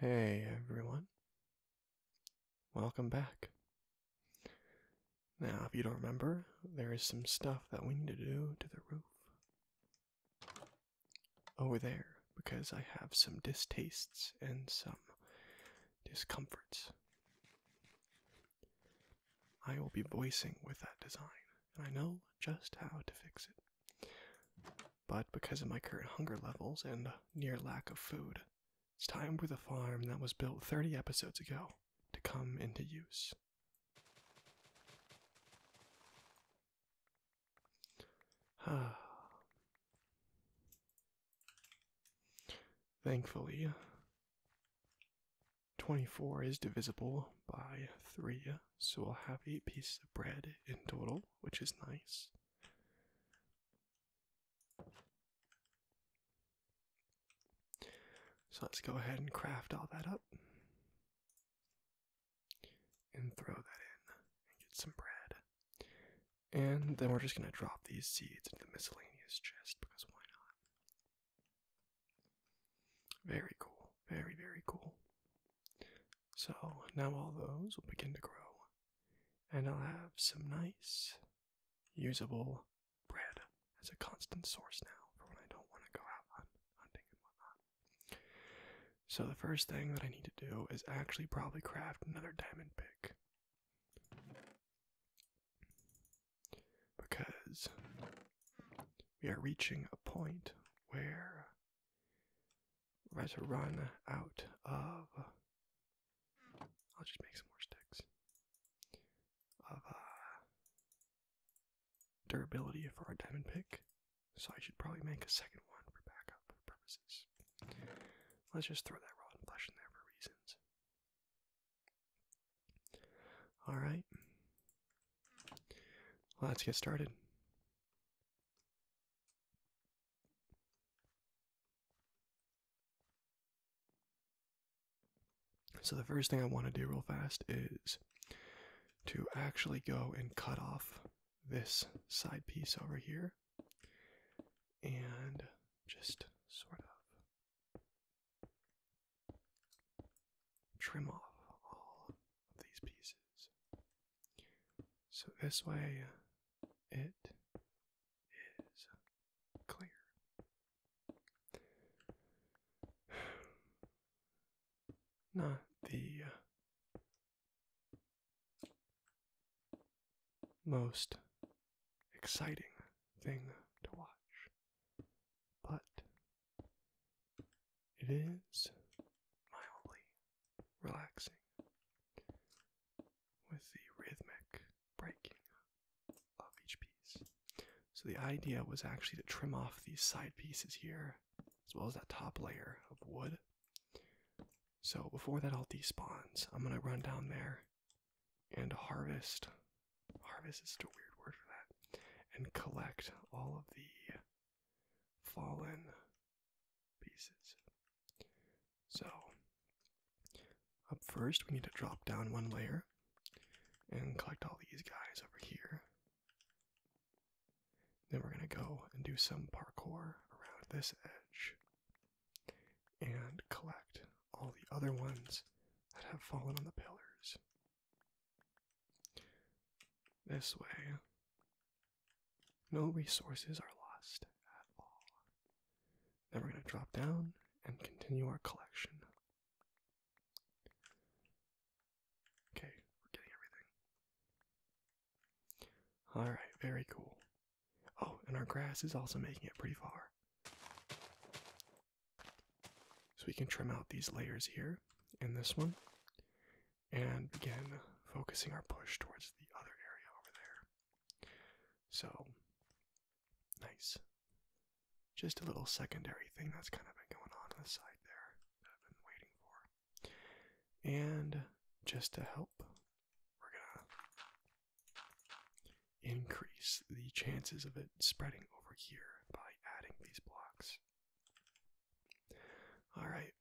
Hey everyone. Welcome back. Now, if you don't remember, there is some stuff that we need to do to the roof over there because I have some distastes and some discomforts. I will be voicing with that design, and I know just how to fix it. But because of my current hunger levels and near lack of food, it's time for the farm that was built 30 episodes ago to come into use. Thankfully, 24 is divisible by 3, so we'll have 8 pieces of bread in total, which is nice. So let's go ahead and craft all that up and throw that in and get some bread. And then we're just going to drop these seeds into the miscellaneous chest because why not? Very cool. Very, very cool. So now all those will begin to grow, and I'll have some nice, usable bread as a constant source now for when I don't want to go out hunting and whatnot. So the first thing that I need to do is actually probably craft another diamond pick because we are reaching a point where we're about to run out of. I'll just make some more sticks of uh, durability for our diamond pick, so I should probably make a second one for backup purposes. Let's just throw that rotten flesh in there for reasons. All right. Let's get started. So, the first thing I want to do real fast is to actually go and cut off this side piece over here and just sort of trim off all of these pieces. So this way it is clear. Not the uh, most exciting thing to watch, but it is mildly relaxing with the rhythmic breaking of each piece. So the idea was actually to trim off these side pieces here as well as that top layer of wood. So before that all despawns, I'm going to run down there and harvest harvest is a weird word for that, and collect all of the fallen pieces. So, up first, we need to drop down one layer and collect all these guys over here. Then we're going to go and do some parkour around this edge and collect all the other ones that have fallen on the pillars. This way, no resources are lost at all. Then we're going to drop down and continue our collection. Okay, we're getting everything. Alright, very cool. Oh, and our grass is also making it pretty far. So we can trim out these layers here and this one and again focusing our push towards the other area over there. So nice. Just a little secondary thing that's kind of been going on on the side there that I've been waiting for. And just to help, we're gonna increase the chances of it spreading over here by adding these blocks. Alright.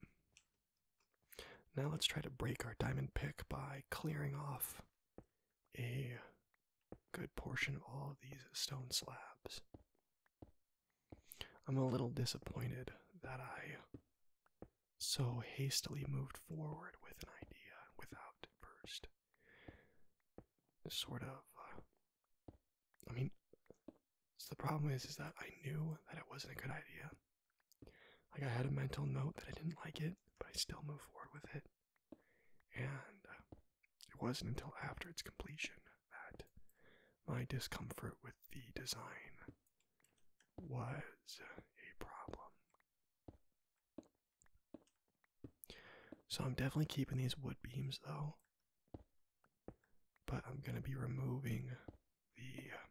Now let's try to break our diamond pick by clearing off a good portion of all these stone slabs. I'm a little disappointed that I so hastily moved forward with an idea without first sort of uh, I mean, the problem is, is that I knew that it wasn't a good idea. Like I had a mental note that I didn't like it, but I still moved forward with it. And uh, it wasn't until after its completion that my discomfort with the design was a problem. So I'm definitely keeping these wood beams though. But I'm going to be removing the uh,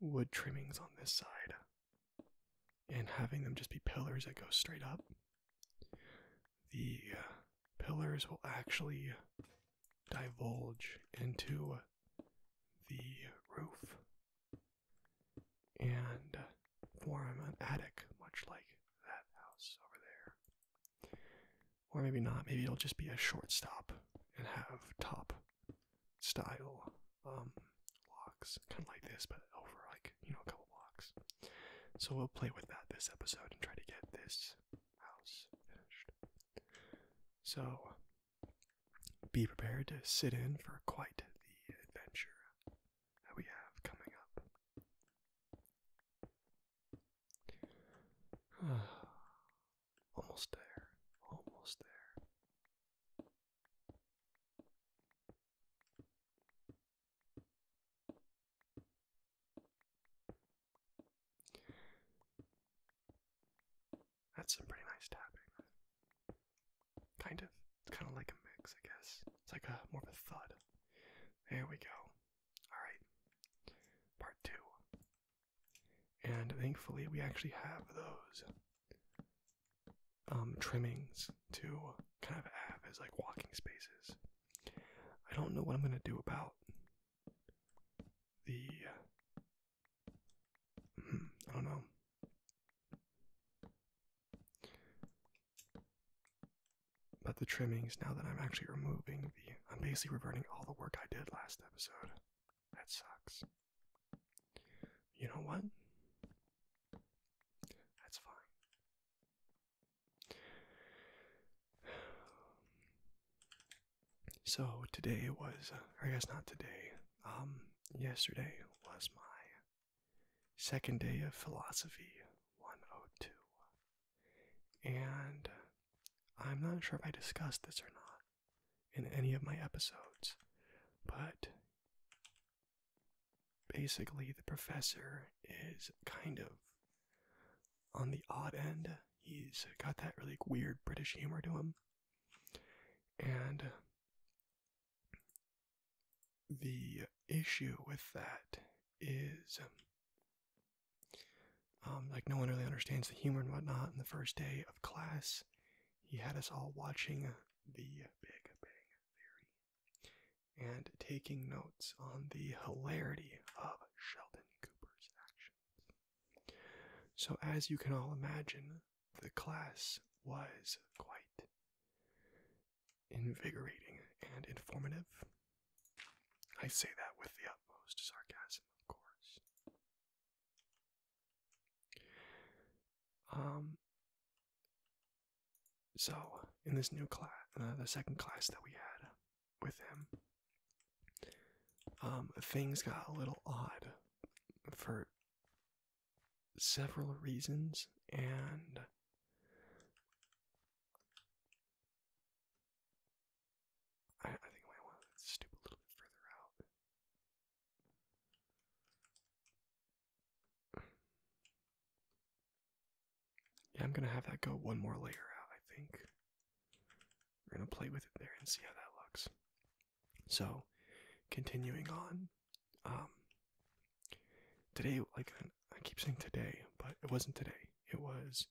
wood trimmings on this side and having them just be pillars that go straight up. The uh, pillars will actually divulge into the roof and form an attic, much like that house over there. Or maybe not, maybe it'll just be a short stop and have top style um, blocks, kind of like this, but over like, you know, a couple blocks. So we'll play with that this episode and try to get this house finished. So be prepared to sit in for quite the adventure that we have coming up. almost there, almost there. That's some pretty nice tapping. Kind of. It's kind of like a mix, I guess. It's like a more of a thud. There we go. Alright. Part two. And thankfully, we actually have those um, trimmings to kind of have as like walking spaces. I don't know what I'm going to do about the. Hmm, I don't know. But the trimmings, now that I'm actually removing the, I'm basically reverting all the work I did last episode. That sucks. You know what? That's fine. So today was, I guess not today, um, yesterday was my second day of philosophy 102. And I'm not sure if I discussed this or not in any of my episodes, but basically, the professor is kind of on the odd end. He's got that really weird British humor to him. And the issue with that is um, um, like no one really understands the humor and whatnot. In the first day of class, he had us all watching the Big Bang Theory and taking notes on the hilarity of Sheldon Cooper's actions. So, as you can all imagine, the class was quite invigorating and informative. I say that with the utmost sarcasm, of course. Um, so, in this new class, uh, the second class that we had with him, um, things got a little odd for several reasons, and I, think I want to stoop a little bit further out. Yeah, I'm gonna have that go one more layer out, I think. We're gonna play with it there and see how that looks. So, continuing on, um, today, like I keep saying today, but it wasn't today. It was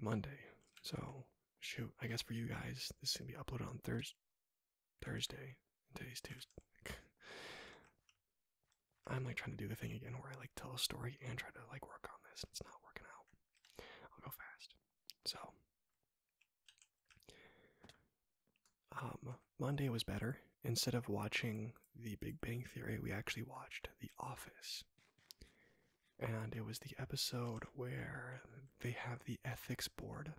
Monday. So shoot, I guess for you guys, this is gonna be uploaded on Thursday. Thursday. today's Tuesday. I'm like trying to do the thing again where I like tell a story and try to like work on this. It's not working out. I'll go fast. So um, Monday was better. Instead of watching The Big Bang Theory, we actually watched The Office. And it was the episode where they have the ethics board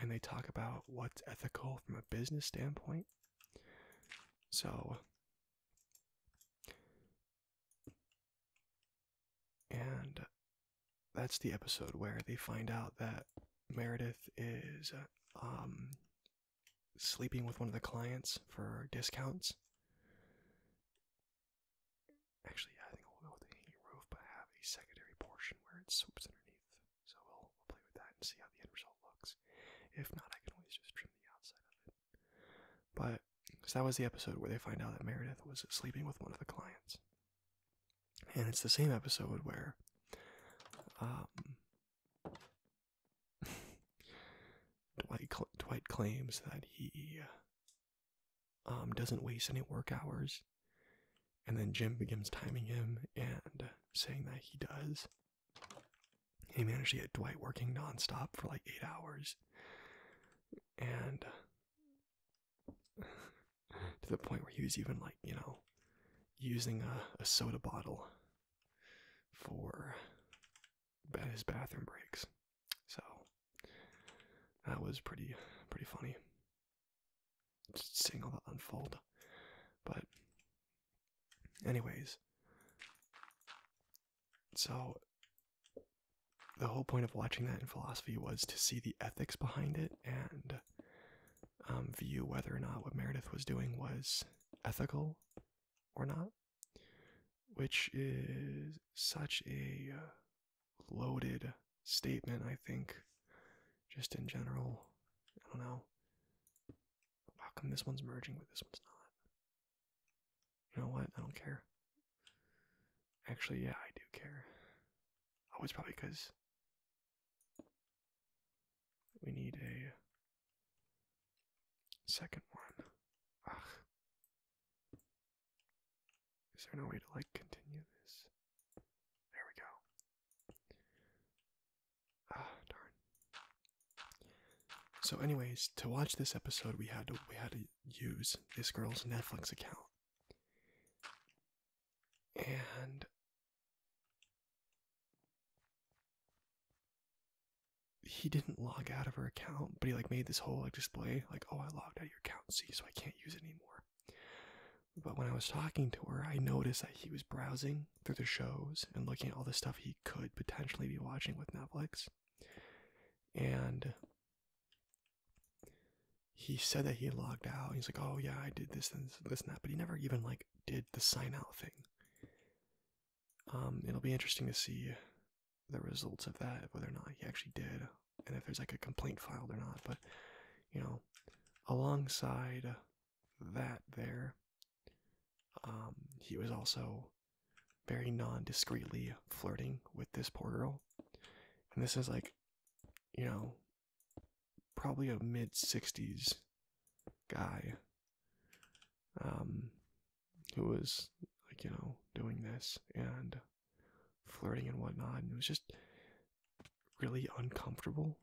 and they talk about what's ethical from a business standpoint. So, and that's the episode where they find out that Meredith is um, sleeping with one of the clients for discounts. Actually, I think we'll go with the hanging roof, but I have a secondary portion where it swoops underneath. So we'll, we'll play with that and see how the end result looks. If not, I can always just trim the outside of it. But, so that was the episode where they find out that Meredith was sleeping with one of the clients and it's the same episode where um, Dwight claims that he uh, um, doesn't waste any work hours, and then Jim begins timing him and saying that he does. He managed to get Dwight working nonstop for like eight hours, and to the point where he was even like, you know, using a, soda bottle for his bathroom breaks. So that was pretty pretty funny. Just seeing all that unfold. But anyways. So the whole point of watching that in philosophy was to see the ethics behind it and um, view whether or not what Meredith was doing was ethical or not, which is such a uh, loaded statement, I think, just in general. I don't know. How come this one's merging but this one's not? You know what? I don't care. Actually, yeah, I do care. Oh, it's probably because we need a second one. Is there no way to like continue this? There we go. Ah, darn. So, anyways, to watch this episode, we had to we had to use this girl's Netflix account and he didn't log out of her account, but he like made this whole like display like, "Oh, I logged out of your account, see, so I can't use it anymore." But when I was talking to her, I noticed that he was browsing through the shows and looking at all the stuff he could potentially be watching with Netflix. And he said that he logged out. He's like, "Oh yeah, I did this and this, and that," but he never even like did the sign out thing. Um, it'll be interesting to see the results of that, whether or not he actually did, and if there's like a complaint filed or not. But you know, alongside that, there, um, he was also very non-discreetly flirting with this poor girl, and this is like you know, probably a mid 60s guy um, who was like, you know, doing this and flirting and whatnot. And it was just really uncomfortable.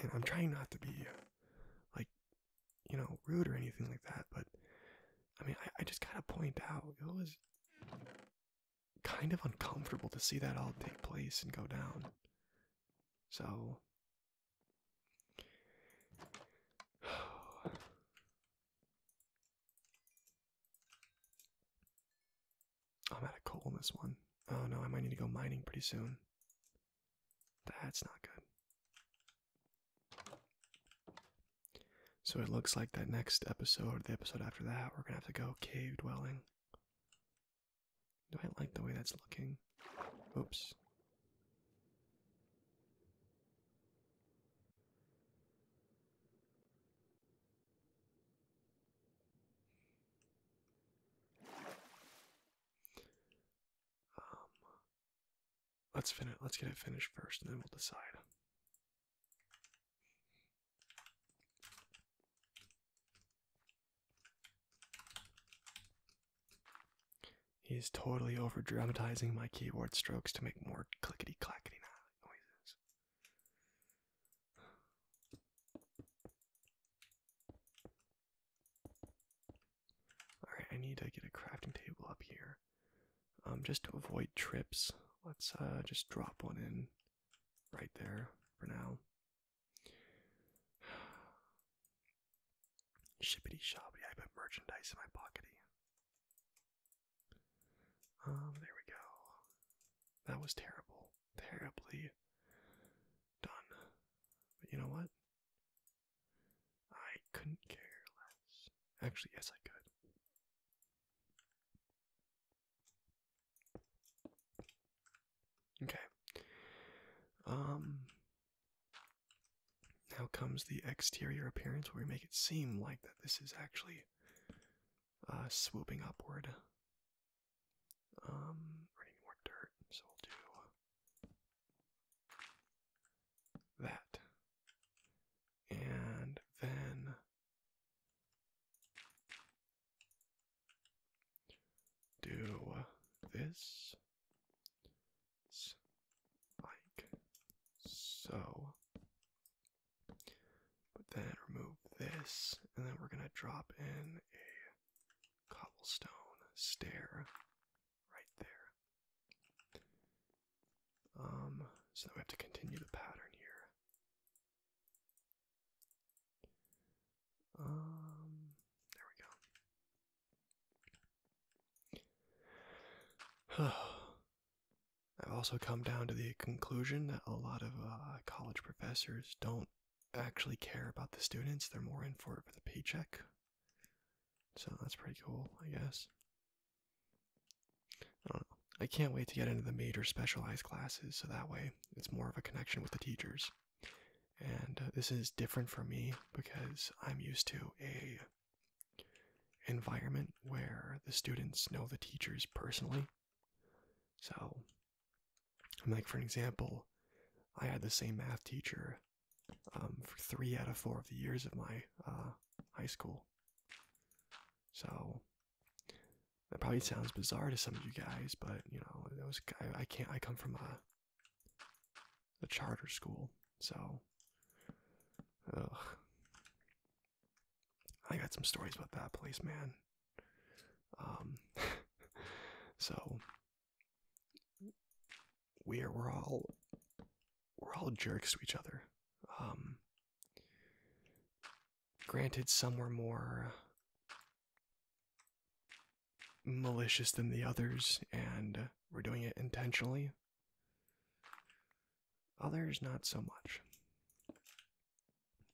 And I'm trying not to be like, you know, rude or anything like that, but I mean, I, I just gotta point out it was kind of uncomfortable to see that all take place and go down. So I'm out of coal in this one. Oh no, I might need to go mining pretty soon. That's not good. So it looks like that next episode, the episode after that, we're gonna have to go cave dwelling. Do I like the way that's looking? Oops. Um, let's finish. Let's get it finished first, and then we'll decide. He is totally over dramatizing my keyboard strokes to make more clickety clackety noises. Alright, I need to get a crafting table up here um, just to avoid trips, let's uh, just drop one in right there for now. Shippity shoppity, I put merchandise in my pockety. Um, there we go. That was terrible. Terribly done. But you know what? I couldn't care less. Actually, yes, I could. Okay. Um now comes the exterior appearance where we make it seem like that this is actually uh, swooping upward. Um we need more dirt, so we'll do that. And then do this like so. But then remove this, and then we're going to drop in a cobblestone stair right there. Um, so now we have to continue the pattern here. Um, there we go. I've also come down to the conclusion that a lot of uh, college professors don't actually care about the students. They're more in for it for the paycheck. So that's pretty cool, I guess. I can't wait to get into the major specialized classes so that way it's more of a connection with the teachers. And uh, this is different for me because I'm used to a environment where the students know the teachers personally. So I'm like for example, I had the same math teacher um, for three out of four of the years of my uh, high school. So that probably sounds bizarre to some of you guys, but you know, that was I, can't. I come from a a charter school, so I got some stories about that place, man. Um, so we're we're all we're all jerks to each other. Um, Granted, some were more uh, malicious than the others and uh, were doing it intentionally, others, not so much.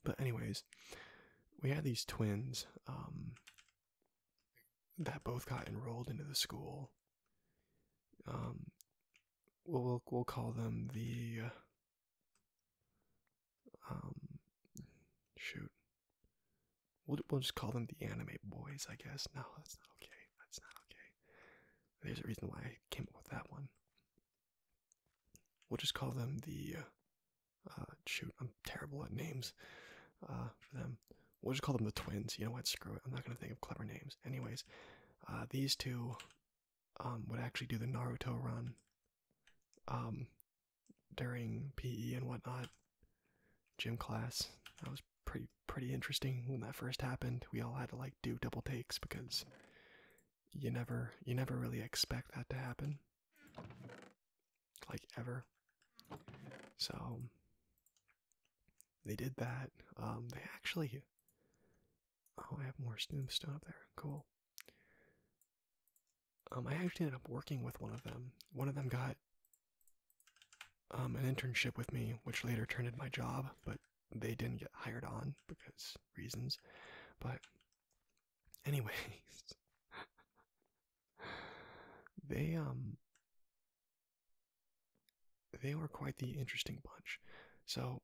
But, anyways, we had these twins um, that both got enrolled into the school. Um, we'll we'll, call them the um shoot we'll we'll just call them the anime boys I guess no that's not okay that's not okay there's a reason why I came up with that one we'll just call them the uh, uh shoot I'm terrible at names uh for them we'll just call them the twins you know what screw it I'm not gonna think of clever names anyways uh these two um, would actually do the Naruto run um, during PE and whatnot, gym class. That was pretty pretty interesting when that first happened. We all had to like do double takes because you never you never really expect that to happen, like ever. So they did that. Um, they actually Oh, I have more snoop up there. Cool. Um, I actually ended up working with one of them. One of them got um, an internship with me, which later turned into my job, but they didn't get hired on because reasons. But, anyways, they um, they were quite the interesting bunch. So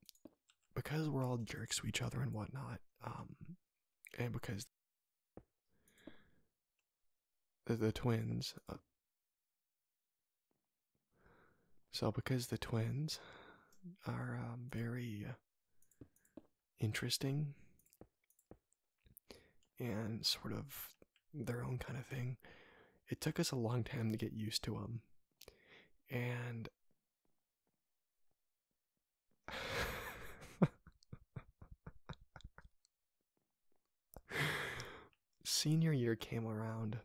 because we're all jerks to each other and whatnot, um, and because the, twins, uh, so because the twins are um, very interesting and sort of their own kind of thing, it took us a long time to get used to them. And senior year came around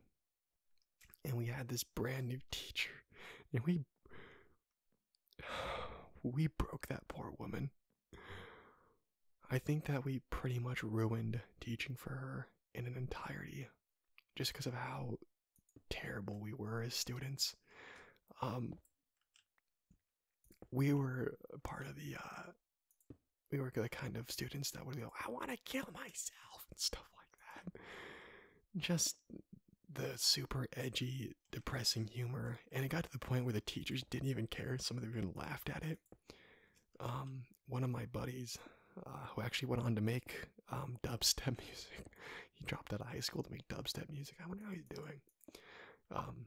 and we had this brand new teacher and we we broke that poor woman. I think that we pretty much ruined teaching for her in an entirety just because of how terrible we were as students. Um, we were part of the uh, we were the kind of students that would go, I want to kill myself and stuff like that. Just the super edgy, depressing humor, and it got to the point where the teachers didn't even care. Some of them even laughed at it. Um, one of my buddies uh, who actually went on to make um, dubstep music. He dropped out of high school to make dubstep music. I wonder how he's doing. Um,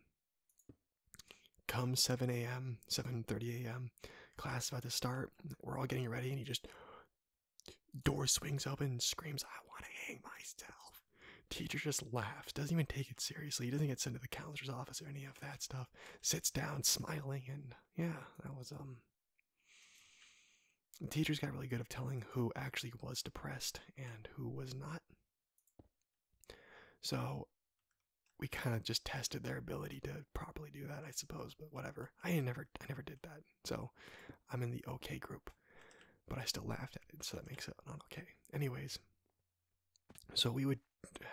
come 7 a.m., 7:30 a.m. Class about to start. We're all getting ready, and he just door swings open screams, "I want to hang myself." Teacher just laughs, doesn't even take it seriously. He doesn't get sent to the counselor's office or any of that stuff. Sits down, smiling, and yeah, that was um teachers got really good at telling who actually was depressed and who was not. So we kind of just tested their ability to properly do that, I suppose, but whatever. I never I never did that. So I'm in the okay group. But I still laughed at it, so that makes it not okay. Anyways, so we would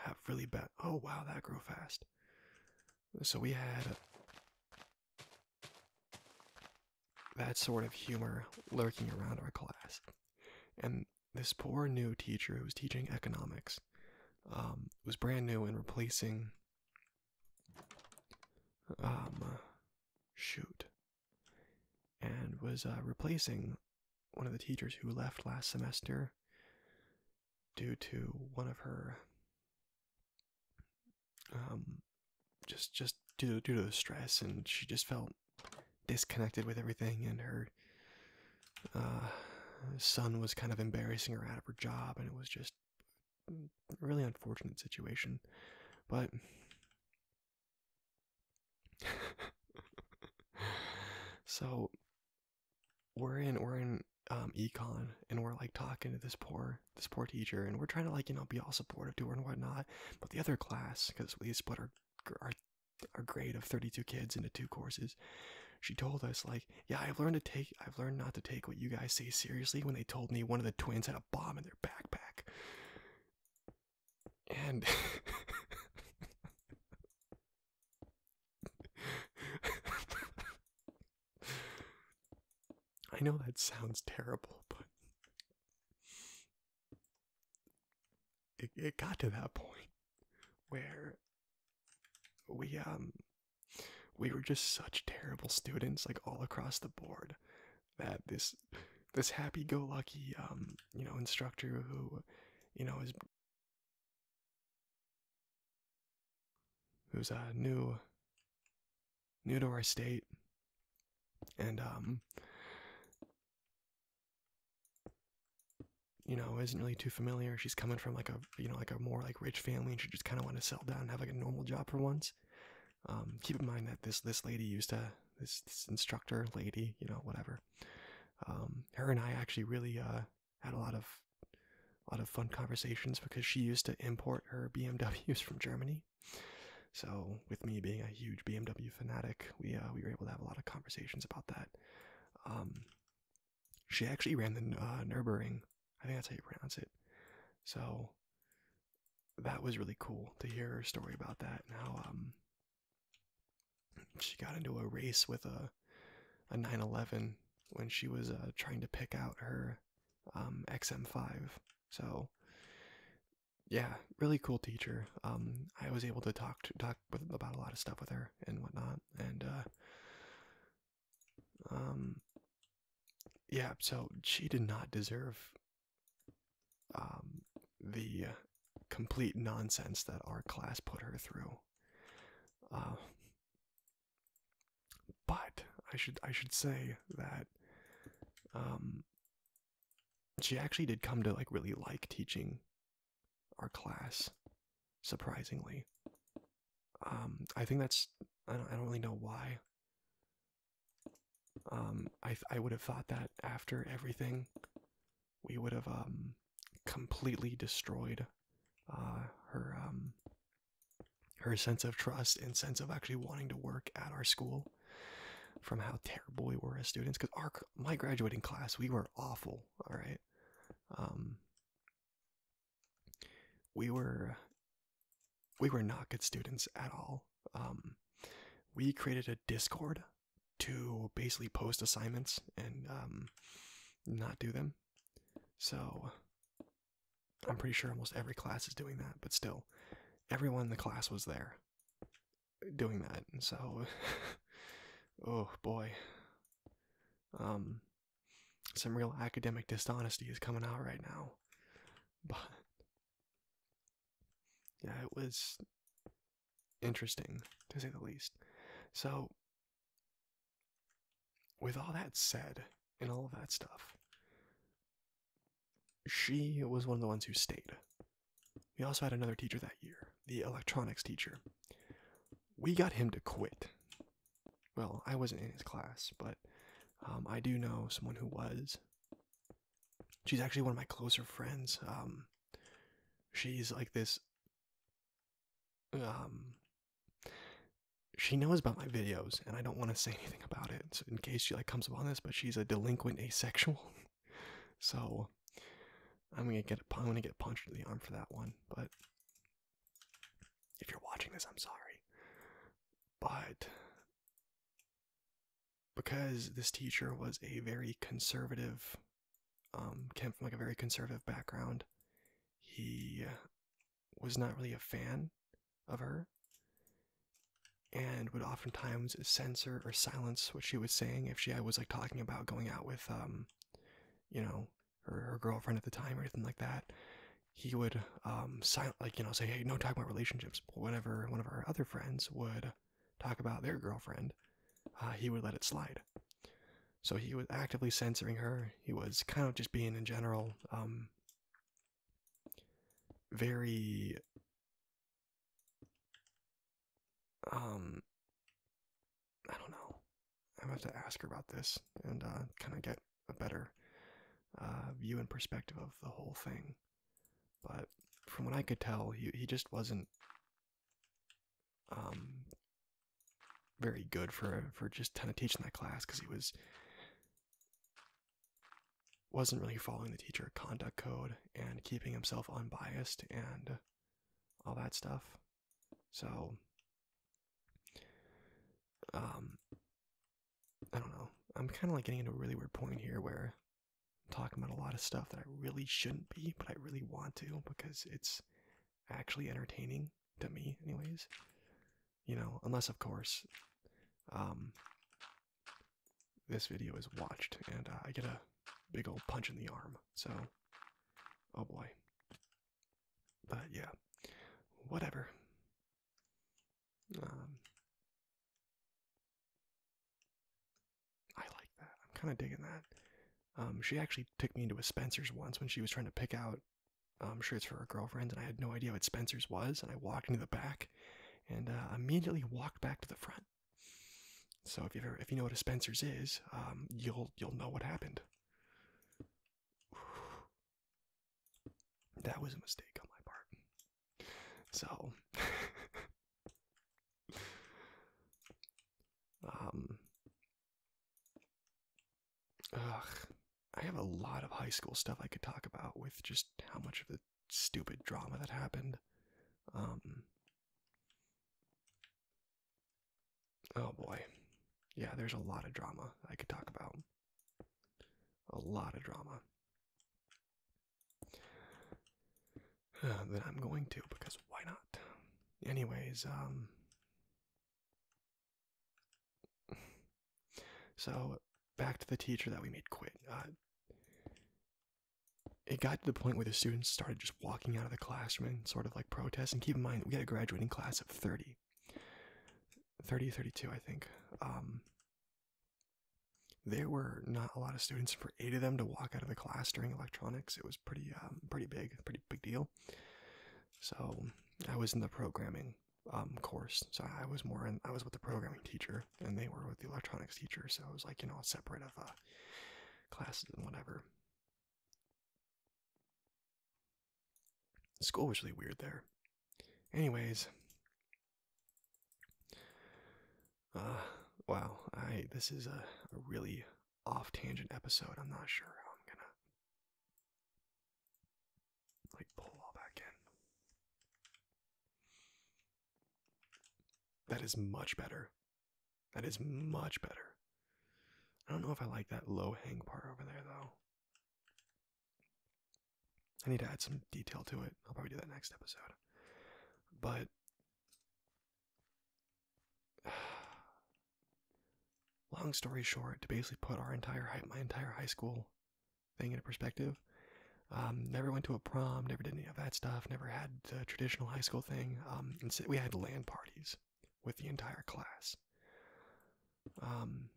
have really bad. Oh wow, that grew fast. So we had that sort of humor lurking around our class. And this poor new teacher who was teaching economics um, was brand new and replacing. Um, uh, shoot. And was uh, replacing one of the teachers who left last semester due to one of her um, just just due to, the stress, and she just felt disconnected with everything, and her uh, son was kind of embarrassing her out of her job, and it was just a really unfortunate situation. But so we're in we're in um, econ and we're like talking to this poor this poor teacher and we're trying to like you know be all supportive to her and whatnot but the other class because we split our our grade of 32 kids into two courses she told us like yeah i've learned to take i've learned not to take what you guys say seriously when they told me one of the twins had a bomb in their backpack and I know that sounds terrible, but it it got to that point where we um we were just such terrible students like all across the board that this this happy go lucky um you know instructor who you know is who's a new new to our state and um you know isn't really too familiar she's coming from like a you know like a more like rich family and she just kind of want to settle down and have like a normal job for once um keep in mind that this this lady used to this, this instructor lady you know whatever um her and i actually really uh had a lot of lot of fun conversations because she used to import her BMWs from Germany. So with me being a huge BMW fanatic, we uh, we were able to have a lot of conversations about that. Um, she actually ran the uh, I think that's how you pronounce it. So that was really cool to hear her story about that and how um, she got into a race with a a 911 when she was uh, trying to pick out her um, XM5. So yeah, really cool teacher. Um, I was able to talk talk about a lot of stuff with her and whatnot, and uh, um, yeah. So she did not deserve the complete nonsense that our class put her through. Uh, but I should I should say that um she actually did come to like really like teaching our class surprisingly. Um I think that's I don't I don't really know why. Um I I would have thought that after everything we would have um completely destroyed uh, her um, her sense of trust and sense of actually wanting to work at our school from how terrible we were as students because our my graduating class we were awful all right um, we were we were not good students at all um, we created a discord to basically post assignments and not do them so I'm pretty sure almost every class is doing that, but still, everyone in the class was there doing that. And So oh boy. Um some real academic dishonesty is coming out right now. But yeah, it was interesting to say the least. So with all that said and all of that stuff, she was one of the ones who stayed. We also had another teacher that year, the electronics teacher. We got him to quit. Well, I wasn't in his class, but um, I do know someone who was. She's actually one of my closer friends. Um, she's like this um, she knows about my videos and I don't want to say anything about it in case she like comes upon this but she's a delinquent asexual so I'm gonna get I'm gonna get punched in the arm for that one but if you're watching this I'm sorry but because this teacher was a very conservative um, came from like a very conservative background. He was not really a fan of her and would oftentimes censor or silence what she was saying if she uh, was like talking about going out with um you know her, girlfriend at the time or anything like that he would um like you know say hey no talk about relationships but whenever one of our other friends would talk about their girlfriend uh, he would let it slide so he was actively censoring her. He was kind of just being in general um very um I don't know. I am gonna have to ask her about this and uh kind of get a better uh view and perspective of the whole thing. But from what I could tell, he he just wasn't um, very good for for just kind of teaching that class because he was wasn't really following the teacher conduct code and keeping himself unbiased and all that stuff. So, um, I don't know. I'm kind of like getting into a really weird point here where I'm talking about a lot of stuff that I really shouldn't be, but I really want to because it's actually entertaining to me, anyways. You know, unless of course, um, this video is watched and uh, I get a big old punch in the arm. So, oh boy. But yeah, whatever. Um, I like that. I'm kind of digging that. Um, she actually took me into a Spencer's once when she was trying to pick out um, shirts for her girlfriend, and I had no idea what Spencer's was. And I walked into the back, and uh, immediately walked back to the front. So if you if you know what a Spencer's is, um, you'll you'll know what happened. That was a mistake on my part. So, um, Ugh. I have a lot of high school stuff I could talk about with just how much of the stupid drama that happened. Um. Oh boy. Yeah, there's a lot of drama I could talk about. A lot of drama. that I'm going to, because why not? Anyways, um so back to the teacher that we made quit. Uh, it got to the point where the students started just walking out of the classroom and sort of like protest. And keep in mind we had a graduating class of 30. 30, 32, I think. Um, there were not a lot of students for eight of them to walk out of the class during electronics. It was pretty, um, pretty big, pretty big deal. So I was in the programming um, course, so I was more in I was with the programming teacher, and they were with the electronics teacher. So it was like you know separate of uh, classes and whatever. School was really weird there. Anyways, uh, wow, I this is a really off tangent episode. I'm not sure how I'm gonna like pull all back in. That is much better. That is much better. I don't know if I like that low hang part over there though. I need to add some detail to it. I'll probably do that next episode. But long story short, to basically put our entire high, my entire high school thing into perspective, um, never went to a prom, never did any of that stuff, never had the traditional high school thing. instead, um, we had land parties with the entire class. Um,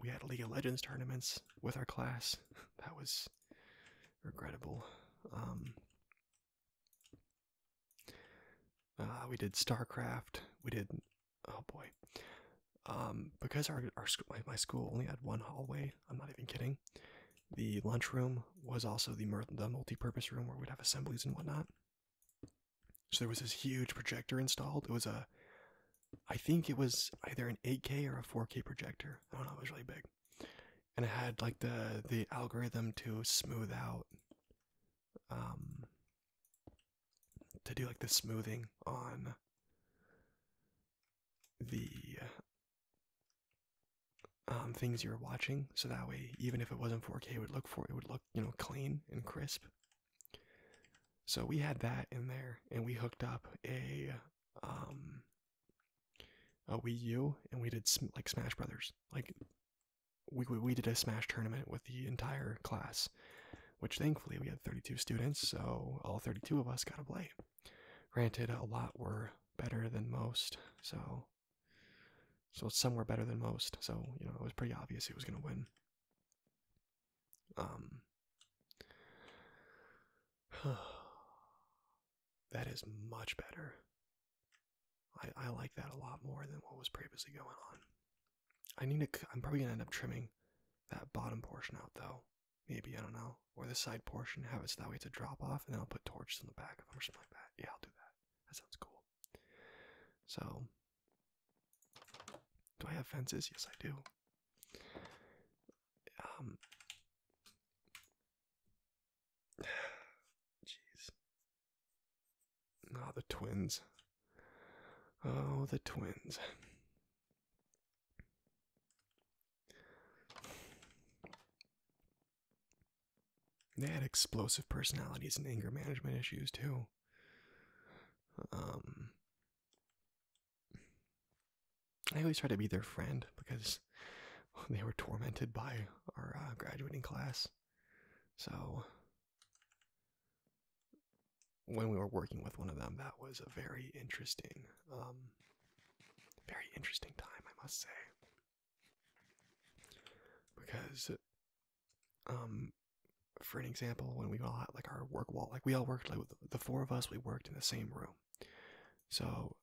we had League of Legends tournaments with our class. That was regrettable. Ah, we did StarCraft. We did oh boy, um, because our my, my school only had one hallway. I'm not even kidding. The lunchroom was also the the multi-purpose room where we'd have assemblies and whatnot. So there was this huge projector installed. It was a, I think it was either an 8K or a 4K projector. I don't know. It was really big, and it had like the the algorithm to smooth out um to do like the smoothing on the um things you're watching so that way even if it wasn't 4K it would look for it would look you know clean and crisp so we had that in there and we hooked up a um a Wii U and we did like Smash Brothers like we, we, did a Smash tournament with the entire class, which thankfully we had 32 students, so all 32 of us got to play. Granted, a lot were better than most, so so some were better than most, so you know it was pretty obvious it was gonna win. Um. That is much better. I, I like that a lot more than what was previously going on. I need to, I'm probably gonna end up trimming that bottom portion out though. Maybe, I don't know. Or the side portion, have it so that way it's a drop off, and then I'll put torches in the back of them or something like that. Yeah, I'll do that. That sounds cool. So, do I have fences? Yes, I do. Um, Jeez. Ah, oh, the twins. Oh, the twins. They had explosive personalities and anger management issues too. Um, I always try to be their friend because they were tormented by our uh, graduating class. So, when we were working with one of them, that was a very interesting, um, very interesting time, I must say. Because, um, for an example, when we all had like our work wall, like we all worked, like the four of us, we worked in the same room. So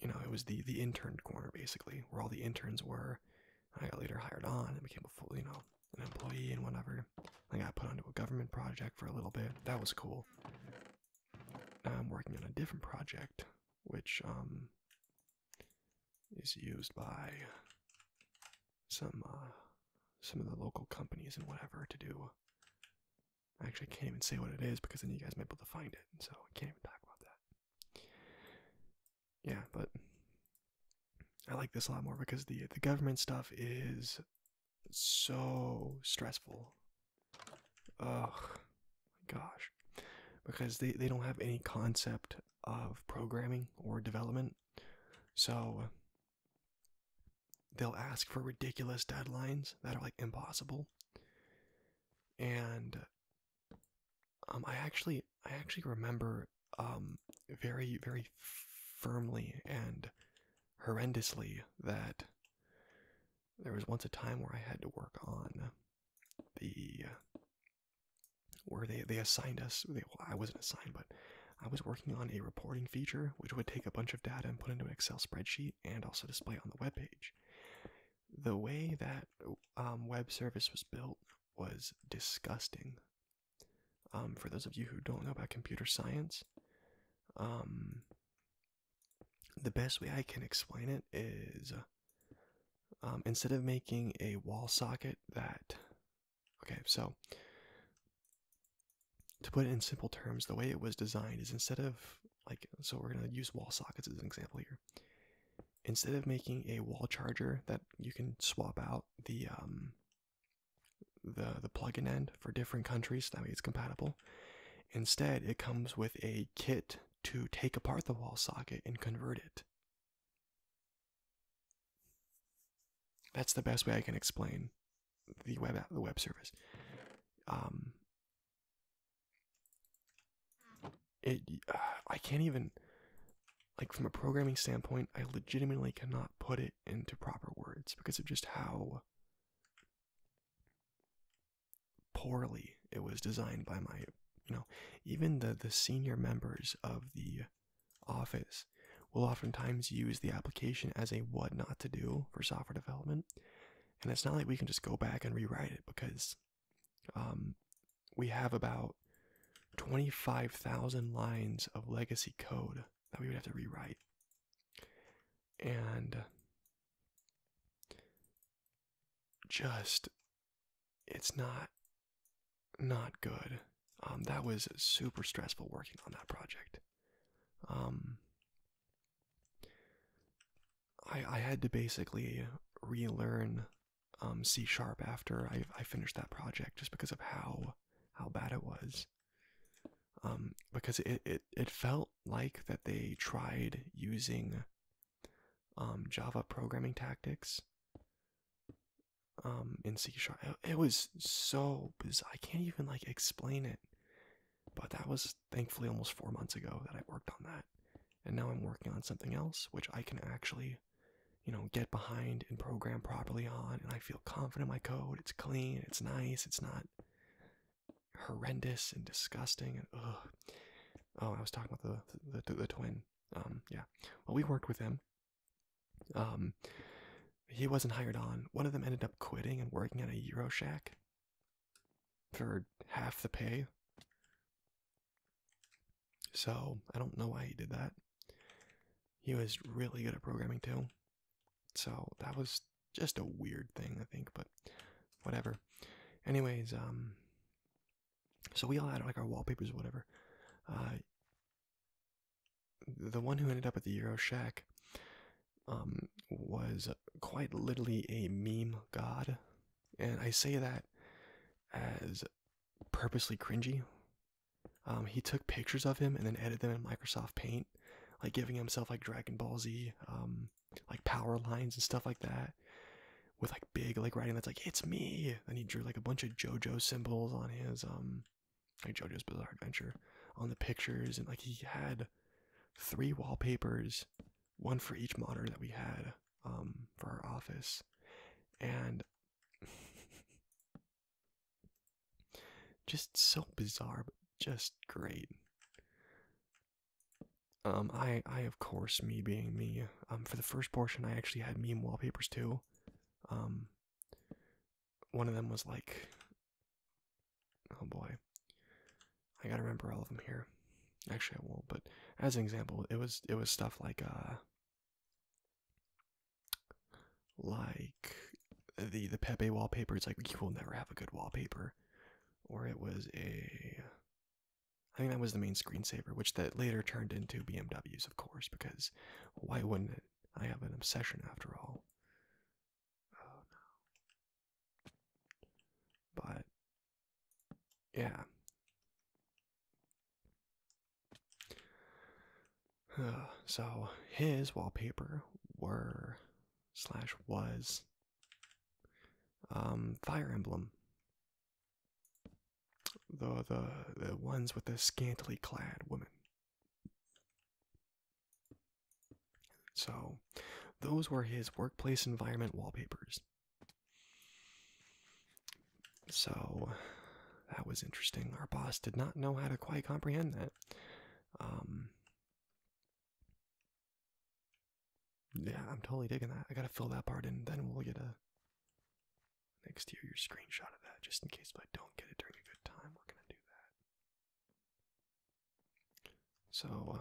you know, it was the the intern corner basically, where all the interns were. I got later hired on and became a full, you know, an employee and whatever. I got put onto a government project for a little bit. That was cool. Now I'm working on a different project, which um is used by some uh, some of the local companies and whatever to do. I actually can't even say what it is because then you guys might be able to find it, so I can't even talk about that yeah, but I like this a lot more because the the government stuff is so stressful. Ugh, gosh, because they they don't have any concept of programming or development, so they'll ask for ridiculous deadlines that are like impossible, and um, I actually, I actually remember um, very, very firmly and horrendously that there was once a time where I had to work on the where they they assigned us. I wasn't assigned, but I was working on a reporting feature which would take a bunch of data and put into an Excel spreadsheet and also display on the web page the way that um, web service was built was disgusting. Um, for those of you who don't know about computer science, um, the best way I can explain it is instead of making a wall socket that, okay, so to put it in simple terms, the way it was designed is instead of like so we're going to use wall sockets as an example here instead of making a wall charger that you can swap out the um the the plug and end for different countries that way it's compatible instead it comes with a kit to take apart the wall socket and convert it that's the best way i can explain the web the web service um, it, I can't even, like, from a programming standpoint, I legitimately cannot put it into proper words because of just how poorly it was designed by my, you know, even the the senior members of the office will oftentimes use the application as a what not to do for software development. And it's not like we can just go back and rewrite it because um, we have about 25,000 lines of legacy code that we would have to rewrite. And just it's not not good. Um, that was super stressful working on that project. Um, I I had to basically relearn um, C sharp after I I finished that project just because of how how bad it was. Um, because it, it it felt like that they tried using um, Java programming tactics um, in C sharp. It, it was so bizarre. I can't even like explain it. But that was thankfully almost four months ago that I worked on that. And now I'm working on something else, which I can actually, you know, get behind and program properly on. And I feel confident my code. It's clean, it's nice, it's not horrendous and disgusting. And ugh. Oh, I was talking about the, the, twin. Um, yeah. Well, we worked with him. Um, he wasn't hired on. One of them ended up quitting and working at a Euro Shack for half the pay. So I don't know why he did that. He was really good at programming too. So that was just a weird thing, I think, but whatever. Anyways, um so we all had like our wallpapers or whatever. Uh the one who ended up at the Euro Shack um was quite literally a meme god and I say that as purposely cringy. Um, he took pictures of him and then edited them in Microsoft Paint, like giving himself like Dragon Ball Z, um, like power lines and stuff like that, with like big like writing that's like it's me. Then he drew like a bunch of JoJo symbols on his um, like JoJo's Bizarre Adventure on the pictures, and like he had three wallpapers one for each monitor that we had um, for our office, and just so bizarre, but just great. Um, I, I of course, me being me, um, for the first portion, I actually had meme wallpapers too. Um, one of them was like, oh boy, I gotta remember all of them here. Actually, I won't. But as an example, it was it was stuff like uh, like the the Pepe wallpaper. It's like you will never have a good wallpaper, or it was a. I think that was the main screensaver, which that later turned into BMWs, of course, because why wouldn't it? I have an obsession after all. Oh no. But yeah. so his wallpaper were slash was um fire emblem. The the the ones with the scantily clad woman. So, those were his workplace environment wallpapers. So, that was interesting. Our boss did not know how to quite comprehend that. Um, yeah, I'm totally digging that. I gotta fill that part in, then we'll get a next year your screenshot of that, just in case if I don't get it during a good time. We're gonna do that. So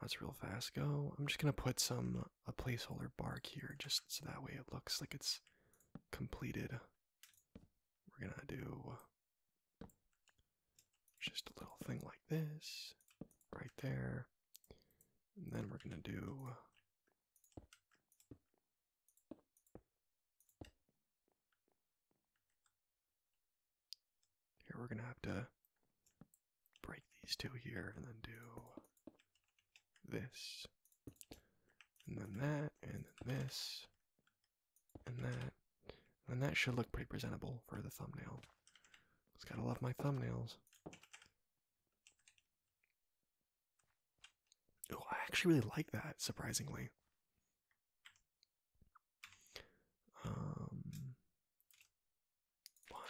let's uh, real fast go. I'm just gonna put some a uh, placeholder bark here just so that way it looks like it's completed. We're gonna do just a little thing like this right there. And then we're gonna do here we're gonna have to break these two here and then do this. And then that, and then this, and that. And that should look pretty presentable for the thumbnail. It's gotta love my thumbnails. Oh, I actually really like that, surprisingly. Um, one.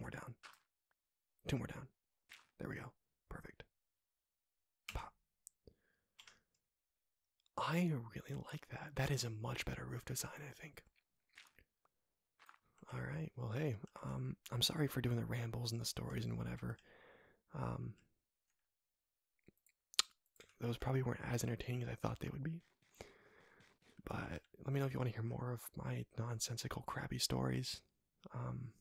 more down. Two more down. There we go. Perfect. Pop. I really like that. That is a much better roof design, I think. All right. Well, hey, um, I'm sorry for doing the rambles and the stories and whatever. Um, those probably weren't as entertaining as I thought they would be. But let me know if you want to hear more of my nonsensical, crabby stories. Um,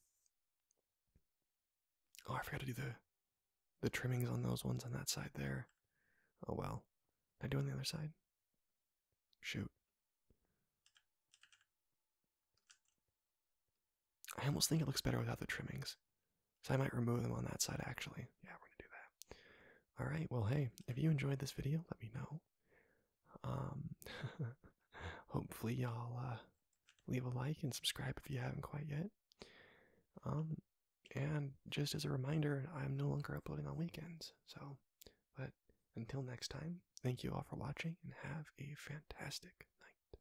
oh, I forgot to do the the trimmings on those ones on that side there. Oh well, I do on the other side. Shoot. I almost think it looks better without the trimmings. So I might remove them on that side actually. Yeah, we're gonna do that. Alright, well hey, if you enjoyed this video, let me know. Um hopefully y'all uh, leave a like and subscribe if you haven't quite yet. Um and just as a reminder, I'm no longer uploading on weekends, so but until next time, thank you all for watching and have a fantastic night.